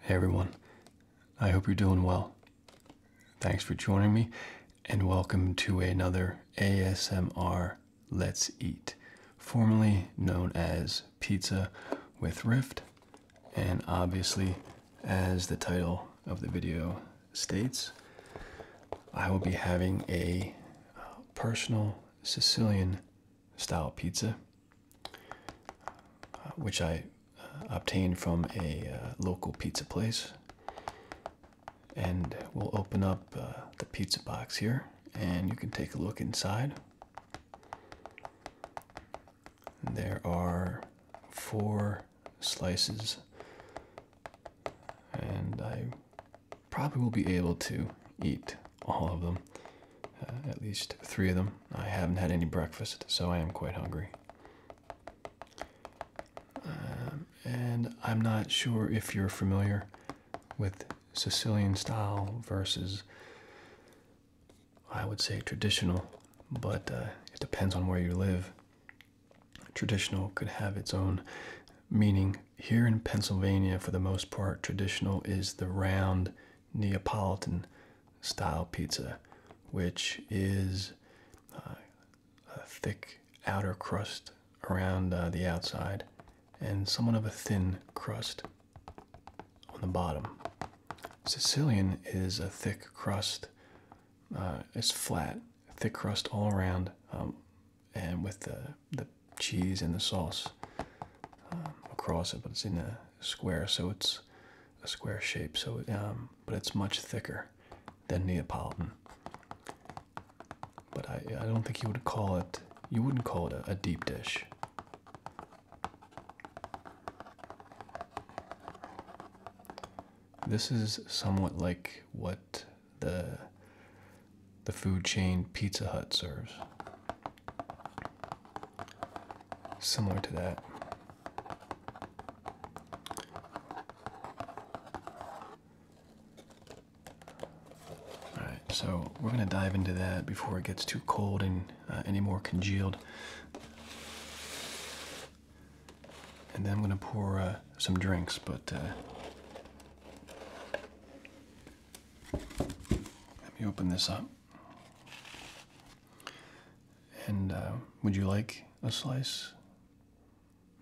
Hey everyone, I hope you're doing well. Thanks for joining me and welcome to another ASMR Let's Eat, formerly known as Pizza with Rift, and obviously, as the title of the video states, I will be having a uh, personal Sicilian style pizza uh, which I uh, obtained from a uh, local pizza place. And we'll open up the pizza box here and you can take a look inside. There are four slices, and I probably will be able to eat all of them. Uh, at least three of them. I haven't had any breakfast, so I am quite hungry. Um, and I'm not sure if you're familiar with Sicilian style versus, I would say, traditional, but uh, it depends on where you live. Traditional could have its own meaning. Here in Pennsylvania, for the most part, traditional is the round Neapolitan style pizza, which is uh, a thick outer crust around uh, the outside and somewhat of a thin crust on the bottom. Sicilian is a thick crust, uh, it's flat, thick crust all around, um, and with the, the cheese and the sauce uh, across it, but it's in a square, so it's a square shape, so um, but it's much thicker than Neapolitan. But I, I don't think you would call it. You wouldn't call it a, a deep dish. This is somewhat like what the the food chain Pizza Hut serves similar to that. Alright, so we're going to dive into that before it gets too cold and uh, any more congealed. And then I'm going to pour uh, some drinks, but uh, let me open this up. And uh, would you like a slice?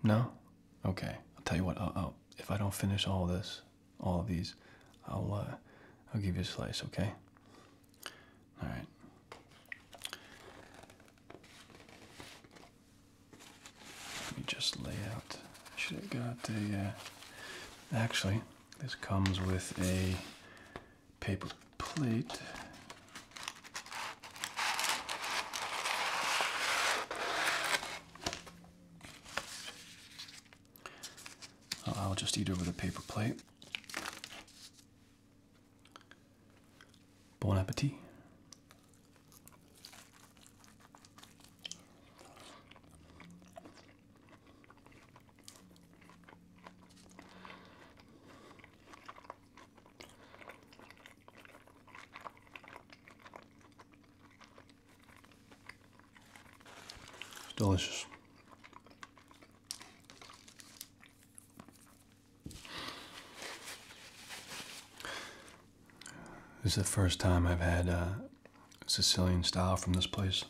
No? Okay. I'll tell you what. if I don't finish all this, all of these, I'll uh, I'll give you a slice. Okay. All right. Let me just lay out. Should have got a. Uh, actually, this comes with a paper plate. I'll just eat over the paper plate. Bon appetit. Delicious. This is the first time I've had uh, Sicilian style from this place.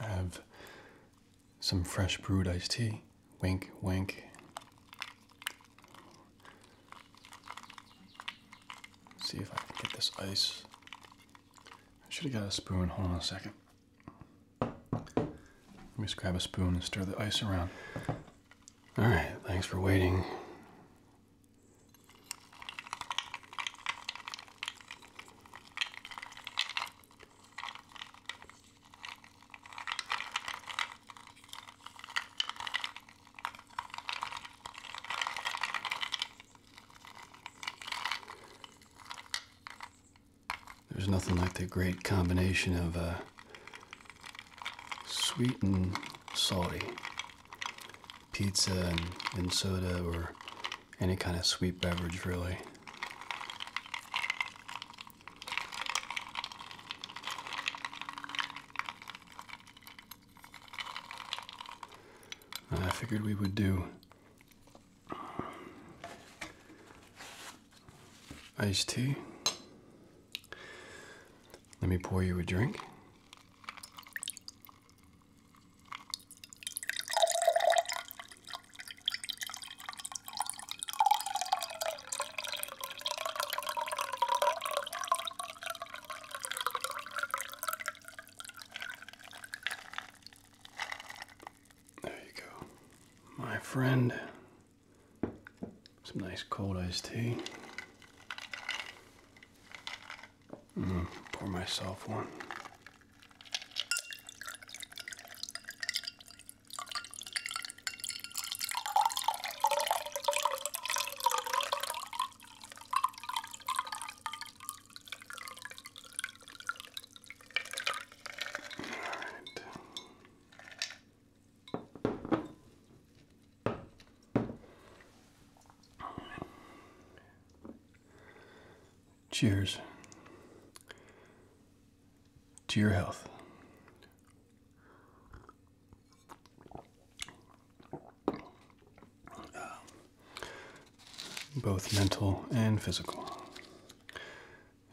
I have some fresh brewed iced tea. Wink, wink. see if I can get this ice. I should have got a spoon. Hold on a second. Let me just grab a spoon and stir the ice around. All right, thanks for waiting. There's nothing like the great combination of uh, sweet and salty pizza and, soda or any kind of sweet beverage, really. I figured we would do iced tea. Let me pour you a drink. There you go. My friend some nice cold iced tea. pour myself one. All right. Cheers to your health. Um, both mental and physical,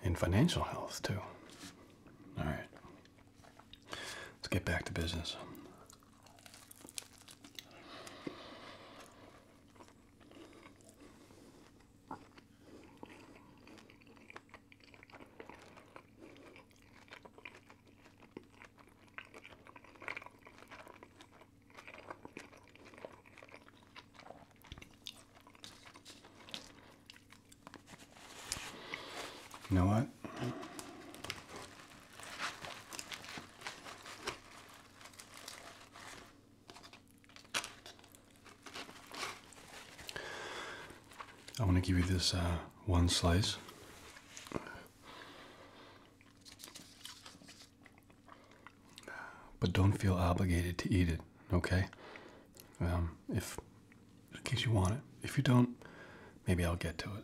and financial health too. All right. Let's get back to business. You know what? I want to give you this uh, one slice. But don't feel obligated to eat it, okay? Um, if in case you want it. If you don't, maybe I'll get to it.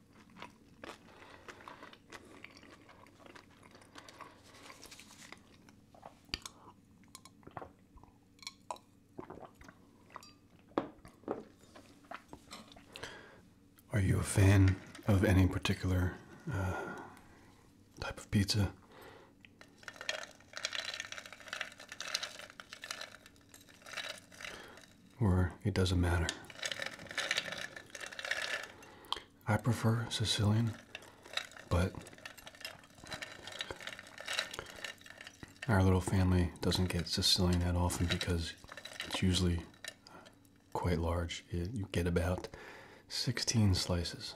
Are you a fan of any particular uh, type of pizza? or it doesn't matter. I prefer Sicilian, but our little family doesn't get Sicilian that often because it's usually quite large. you get about 16 slices.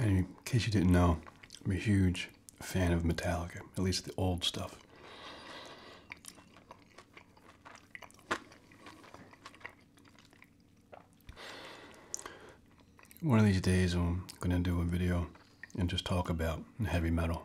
in case you didn't know, I'm a huge fan of Metallica, at least the old stuff. One of these days, I'm going to do a video and just talk about heavy metal.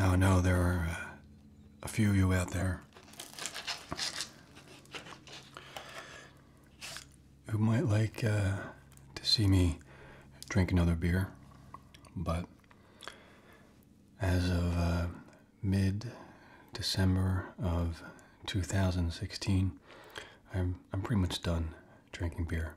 Oh, now I know there are uh, a few of you out there who might like uh, to see me drink another beer, but as of uh, mid December of 2016, I'm, I'm pretty much done drinking beer.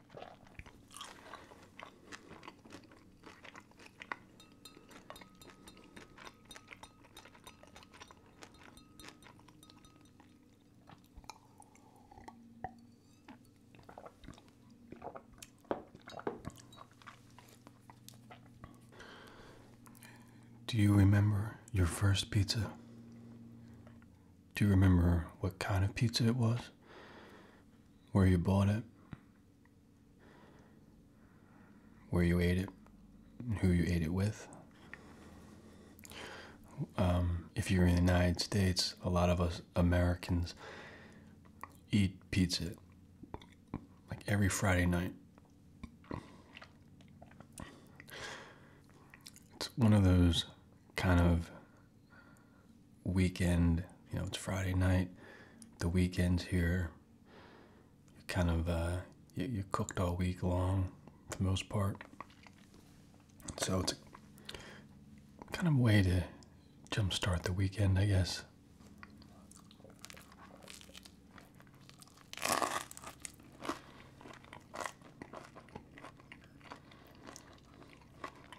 Do you remember your first pizza? Do you remember what kind of pizza it was? where you bought it, where you ate it, who you ate it with. Um, if you're in the United States, a lot of us Americans eat pizza like every Friday night. It's one of those kind of weekend, you know, it's Friday night, the weekend's here. you kind of, uh, you, you cooked all week long for the most part. So it's a kind of way to jumpstart the weekend, I guess.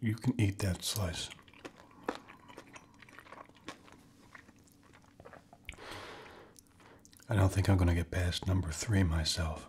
You can eat that slice. I don't think I'm going to get past number three myself.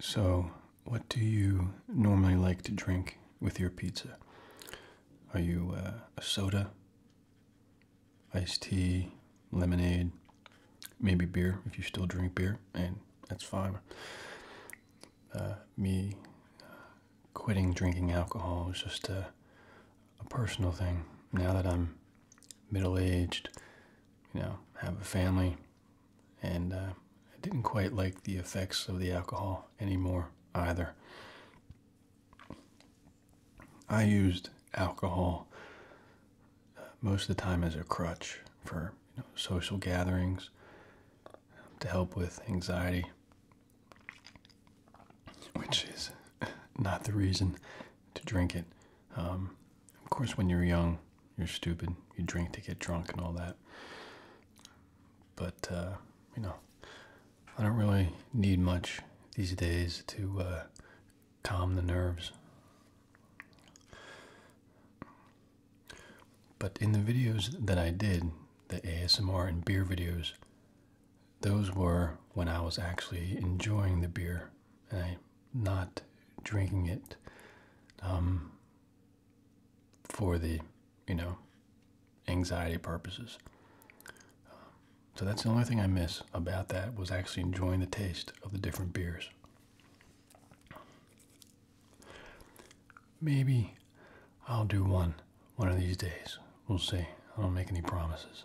So, what do you normally like to drink with your pizza? Are you uh, a soda, iced tea, lemonade, maybe beer if you still drink beer? And that's fine. Uh, me uh, quitting drinking alcohol was just a, personal thing. Now that I'm middle aged, you know, have a family, and uh, I didn't quite like the effects of the alcohol anymore either. I used alcohol most of the time as a crutch for you know, social gatherings um, to help with anxiety, which is not the reason to drink it. Um, of course, when you're young, you're stupid. You drink to get drunk and all that. But, uh, you know, I don't really need much these days to uh, calm the nerves. But in the videos that I did, the ASMR and beer videos, those were when I was actually enjoying the beer and not drinking it um, for the, you know, anxiety purposes. so that's the only thing I miss about that was actually enjoying the taste of the different beers. Maybe I'll do one one of these days. We'll see. I don't make any promises.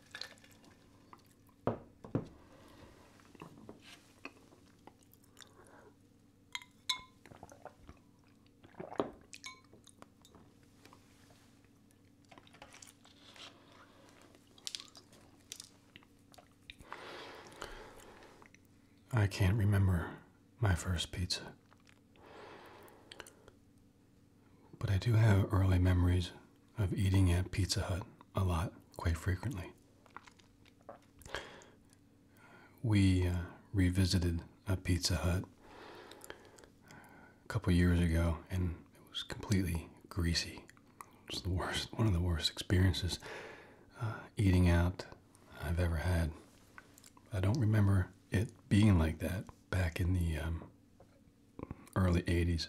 I can't remember my first pizza. But I do have early memories of eating at Pizza Hut a lot, quite frequently. We uh, revisited a Pizza Hut a couple years ago and it was completely greasy. It was the worst, one of the worst experiences uh, eating out I've ever had. I don't remember it being like that back in the um, early 80s.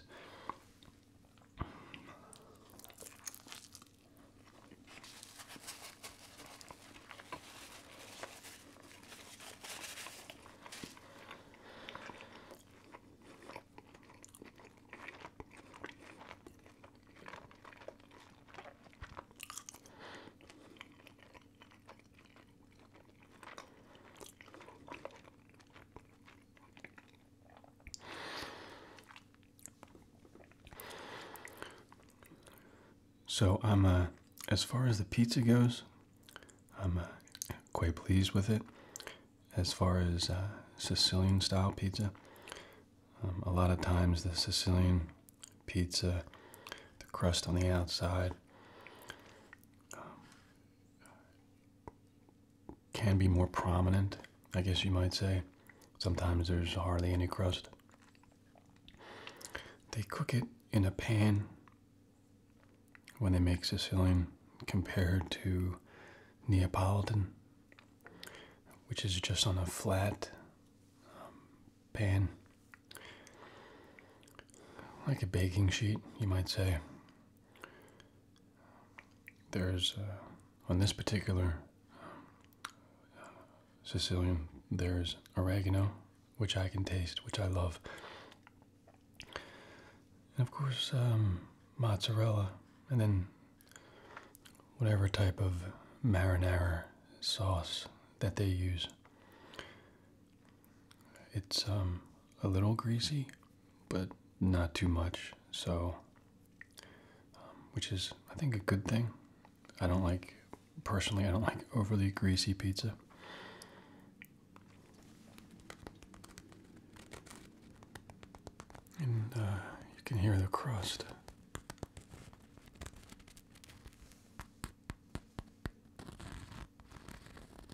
So I'm uh, as far as the pizza goes, I'm uh, quite pleased with it. As far as uh, Sicilian style pizza, um, a lot of times the Sicilian pizza, the crust on the outside, can be more prominent, I guess you might say. Sometimes there's hardly any crust. They cook it in a pan when they make Sicilian compared to Neapolitan, which is just on a flat um, pan like a baking sheet, you might say. There's, uh, on this particular uh, Sicilian, there's oregano, which I can taste, which I love. And of course, um, mozzarella, and then whatever type of marinara sauce that they use. It's um, a little greasy, but not too much. So, um, which is, I think, a good thing. I don't like, personally, I don't like overly greasy pizza. And uh, you can hear the crust.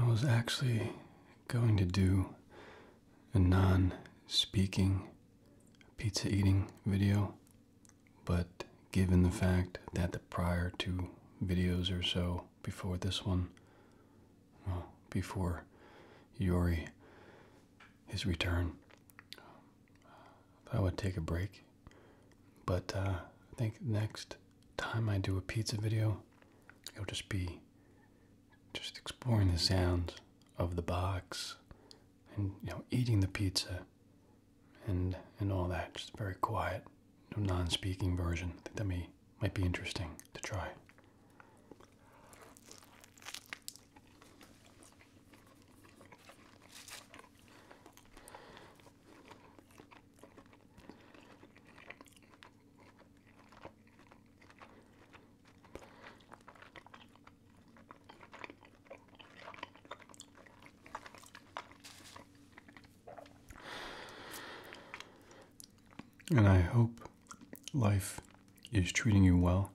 I was actually going to do a non speaking pizza eating video, but given the fact that the prior two videos or so before this one, well, before Yuri' his return, I would take a break. But uh, I think next time I do a pizza video, it'll just be just exploring the sounds of the box and you know eating the pizza and and all that just very quiet no non-speaking version i think that may might be interesting to try and I hope life is treating you well.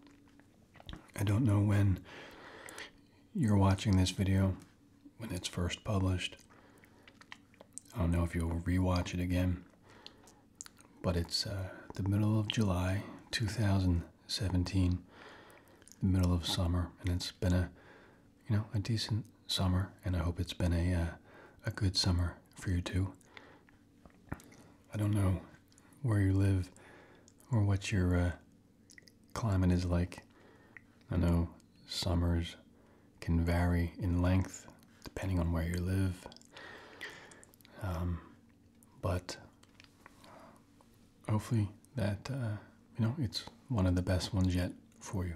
I don't know when you're watching this video, when it's first published. I don't know if you'll rewatch it again but it's uh, the middle of July 2017, the middle of summer, and it's been a you know a decent summer, and I hope it's been a uh, a good summer for you too. I don't know where you live or what your uh, climate is like. I know summers can vary in length depending on where you live. Um, but hopefully that uh, you know it's one of the best ones yet for you.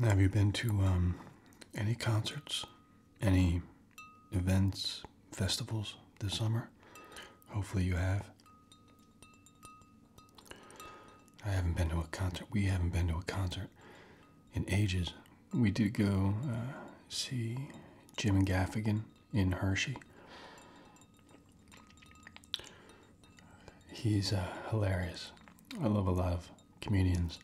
Have you been to um, any concerts, any events, festivals this summer? Hopefully you have. I haven't been to a concert. We haven't been to a concert in ages. We did go uh, see Jim Gaffigan in Hershey. He's uh, hilarious. I love a lot of comedians.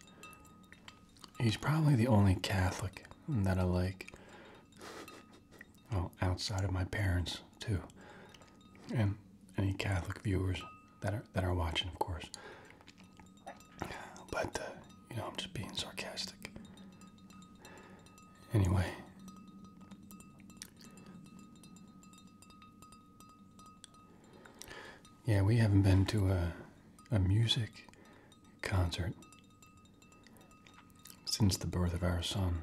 He's probably the only Catholic that I like. well, outside of my parents too, and any Catholic viewers that are that are watching, of course. But, uh, you know, I'm just being sarcastic. Anyway. Yeah, we haven't been to a, a music concert since the birth of our son.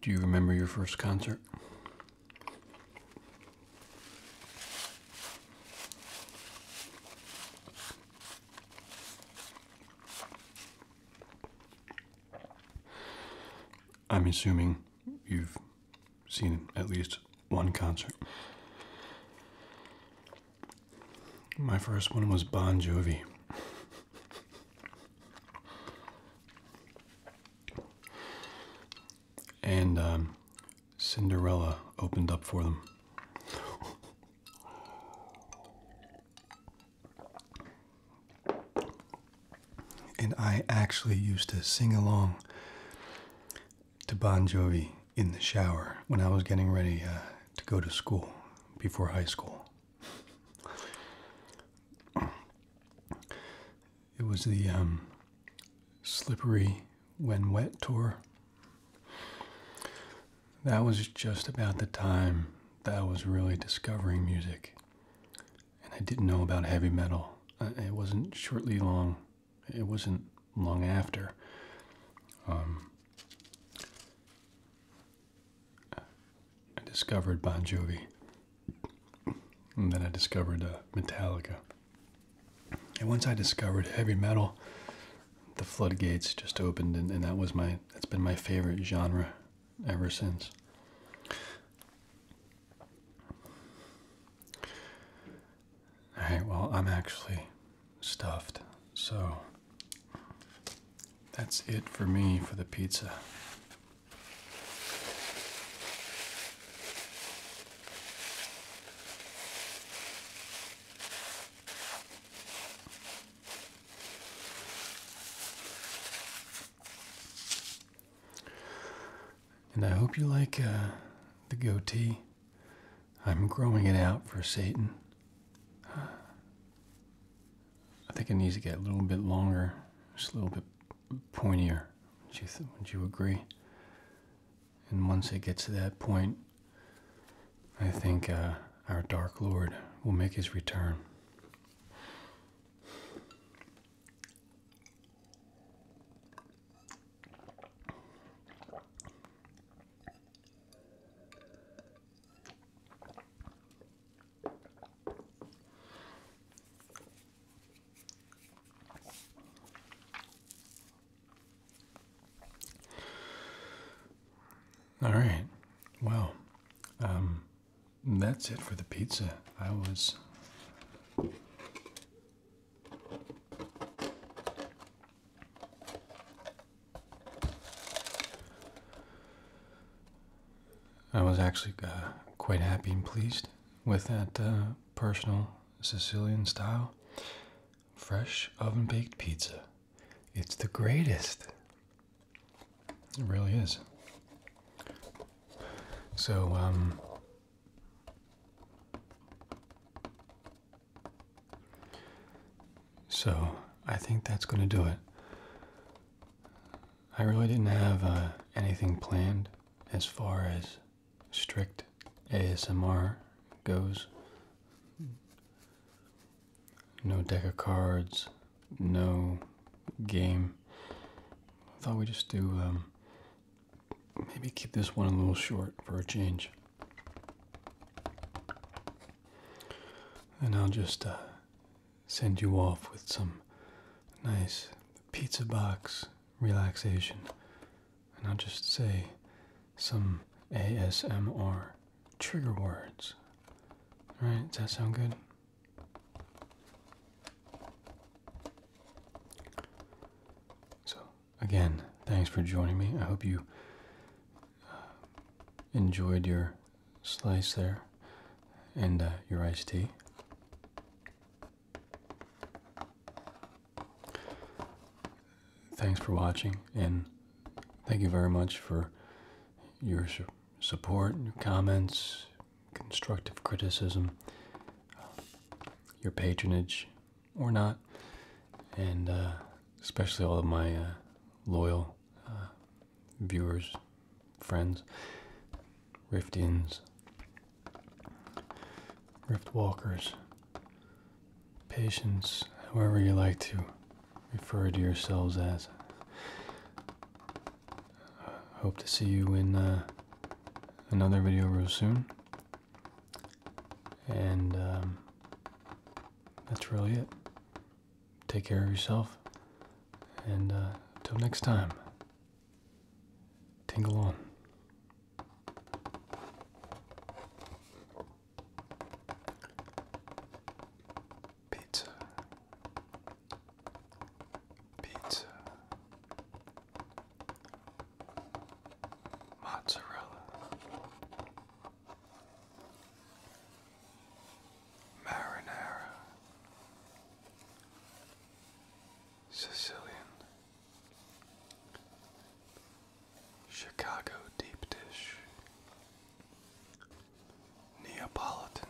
Do you remember your first concert? I'm assuming you've seen at least one concert. My first one was Bon Jovi. and um, Cinderella opened up for them. and I actually used to sing along to Bon Jovi in the shower when I was getting ready uh, to go to school before high school. It was the um, Slippery When Wet tour. That was just about the time that I was really discovering music. And I didn't know about heavy metal. Uh, it wasn't shortly long it wasn't long after. Um, I discovered Bon Jovi, and then I discovered uh, Metallica. And once I discovered heavy metal, the floodgates just opened, and, and that was my that's been my favorite genre ever since. All right, well, I'm actually stuffed, so that's it for me for the pizza. And I hope you like uh, the goatee. I'm growing it out for Satan. I think it needs to get a little bit longer, just a little bit pointier. Would you, would you agree? And once it gets to that point, I think uh, our Dark Lord will make his return. All right. Well, um, that's it for the pizza. I was I was actually uh, quite happy and pleased with that uh, personal Sicilian style fresh oven baked pizza. It's the greatest. It really is. So, um, so I think that's going to do it. I really didn't have uh, anything planned as far as strict ASMR goes. No deck of cards, no game. I thought we'd just do um, Maybe keep this one a little short for a change. And I'll just uh, send you off with some nice pizza box relaxation. And I'll just say some ASMR trigger words. Alright, does that sound good? So, again, thanks for joining me. I hope you uh, enjoyed your slice there and uh, your iced tea. Thanks for watching, and thank you very much for your support, your comments, constructive criticism, uh, your patronage or not, and uh, especially all of my uh, loyal uh, viewers, friends, Riftians, Rift Walkers, patients, however you like to refer to yourselves as. Hope to see you in another video real soon. And um, that's really it. Take care of yourself. And until uh, next time, tingle on mozzarella, marinara, Sicilian, Chicago deep dish, Neapolitan.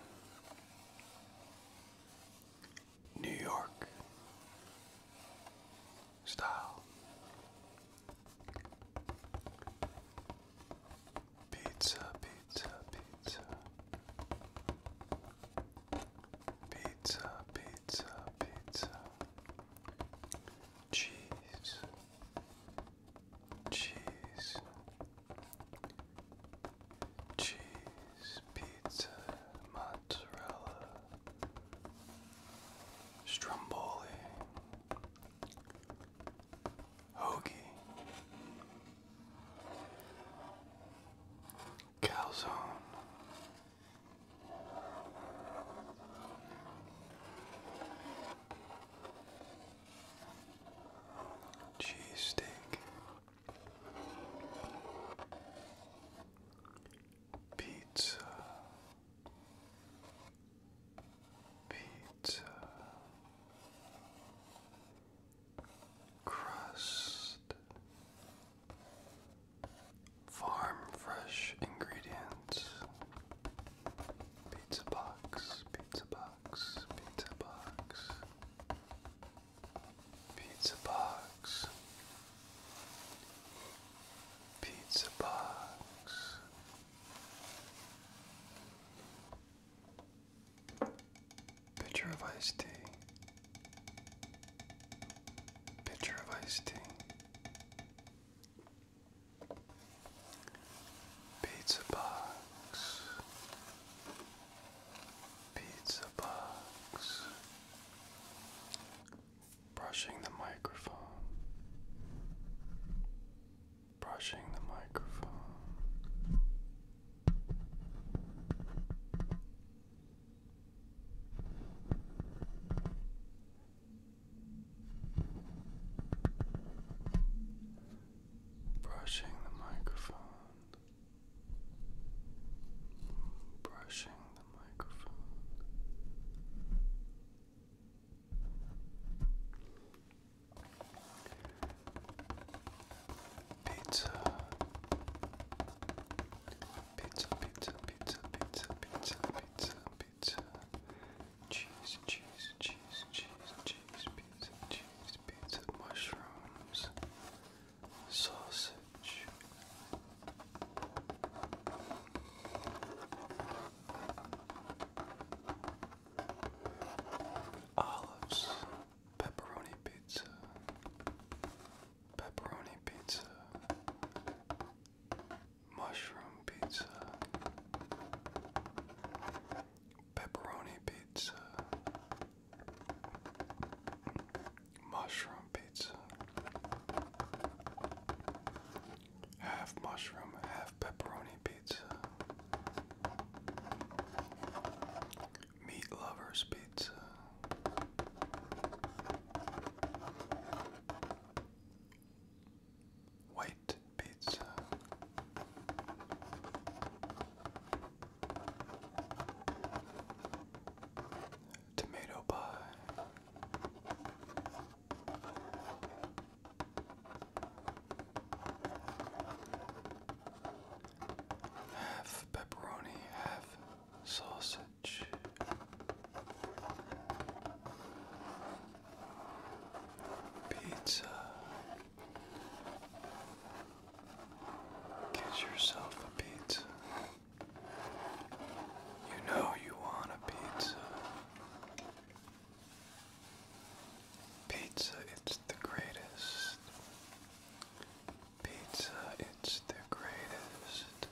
New York style pizza, pizza, pizza, pizza, pizza, pizza, cheese, cheese, cheese, pizza, mozzarella. Stromboli, Hoagie, Calzone. Cheese steak, pizza, pizza crust farm fresh ingredients pizza box pizza box pizza box pizza box pizza box. Pitcher of iced tea. Pitcher of iced tea. Pizza box. Pizza box brushing the microphone, brushing the microphone. Brushing the microphone, brushing the microphone, Pizza. Pizza, pizza, pizza, pizza, pizza, pizza, pizza. Cheese, cheese, cheese, cheese, cheese, pizza, cheese, pizza, mushrooms, sausage. Olives, pepperoni pizza, pepperoni pizza, mushroom pizza, pepperoni pizza, mushroom pizza, half mushroom, half pepperoni pizza. Meat lovers pizza. White pizza. Tomato pie. Half pepperoni, half sausage. Pizza. Get yourself a pizza. You know you want a pizza. Pizza, it's the greatest. Pizza, it's the greatest.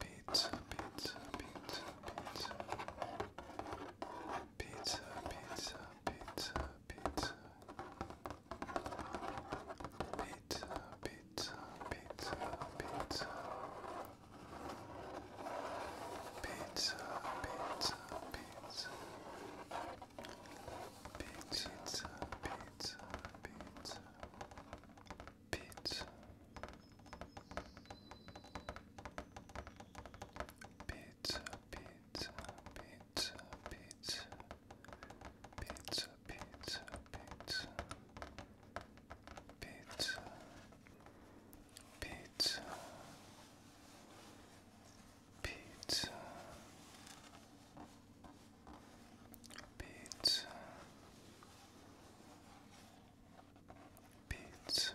Pizza, pizza, pizza, pizza. Pizza, pizza, pizza, pizza. Pizza, pizza pizza, pizza, pizza, pizza, pizza, pizza, pizza, pizza, pizza, pizza, pizza, pizza, pizza, pizza, pizza. Pizza, pizza, pizza pizza, pizza, pizza, pizza, pizza. Pizza,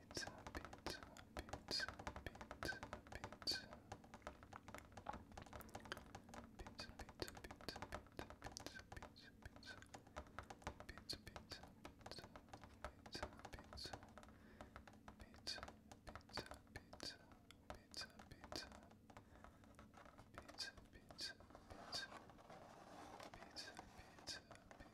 pizza, pizza, pizza, pizza, pizza. Pizza, pizza, pizza, pizza, pizza, pizza, pizza. Pizza, pizza, pizza, pizza, pizza. Pizza, pizza, pizza, pizza, pizza. Pizza, pizza, pizza. Pizza, pizza, pizza,